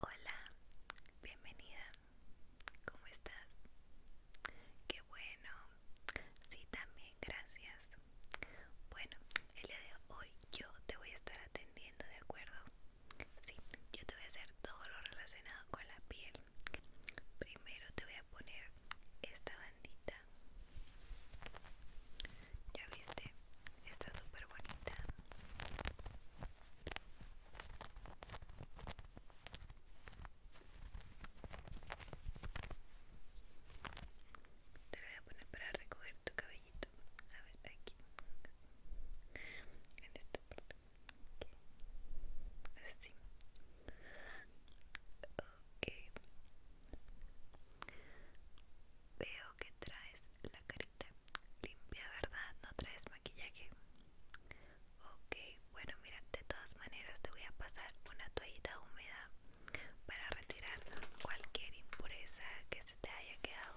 Hola, bienvenida. ¿Cómo estás? Qué bueno. Sí, también, gracias. Bueno, el día de hoy yo te voy a estar atendiendo, ¿de acuerdo? Sí, yo te voy a hacer todo lo relacionado con la piel. Primero te voy a poner esta bandita. Ya viste, está súper bonita. Te lo voy a poner para recoger tu cabellito. A ver, aquí. En esta Así. Ok. Veo que traes la carita Limpia, ¿verdad? No traes maquillaje. Ok, bueno, mira, de todas maneras te voy a pasar una toallita húmeda para retirar cualquier impureza que se te haya quedado.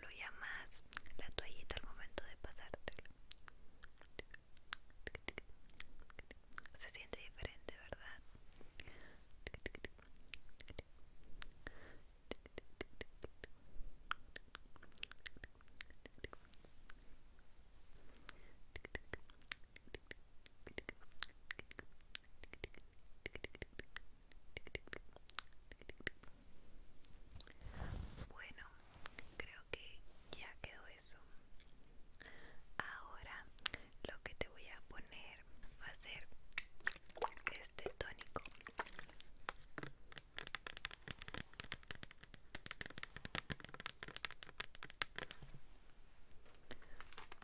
Lo llamas la toallita al momento de pasártela. Se siente diferente, ¿verdad? Bueno, creo que ya quedó eso. Ahora lo que te voy a poner va a ser este tónico.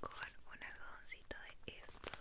Con un algodoncito de estos.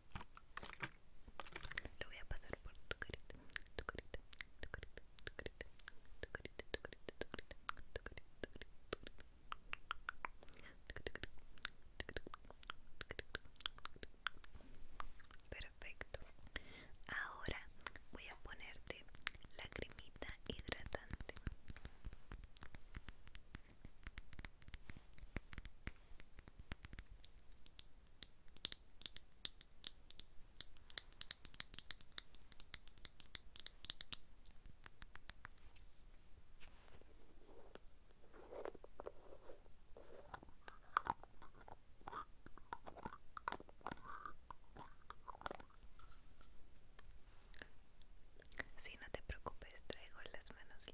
Lo voy a pasar por tu carita, tu tu carita, tu carita, tu carita, tu carita, tu carita, tu carita, tu carita, Perfecto. Ahora voy a ponerte la cremita hidratante. Si no te preocupes, traigo las manos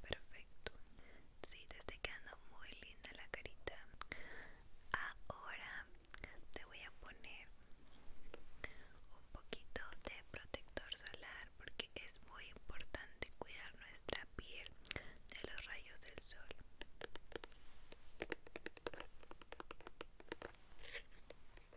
Perfecto. Sí, te está quedando muy linda la carita. Ahora te voy a poner un poquito de protector solar porque es muy importante cuidar nuestra piel de los rayos del sol. Y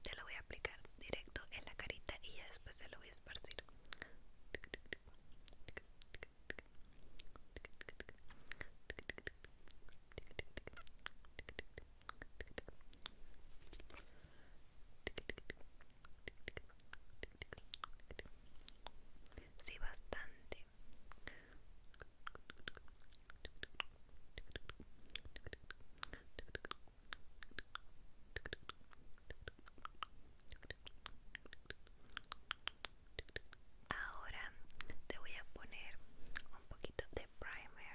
te lo voy a aplicar directo en la carita y ya después se lo voy a esparcir. Sí, bastante. Ahora te voy a poner un poquito de primer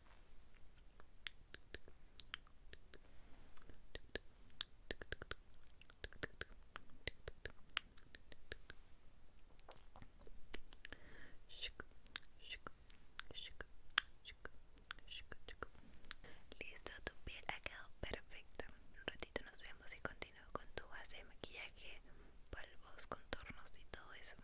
Listo, tu piel ha quedado perfecta. Un ratito nos vemos y continúo con tu base de maquillaje, polvos, contornos y todo eso.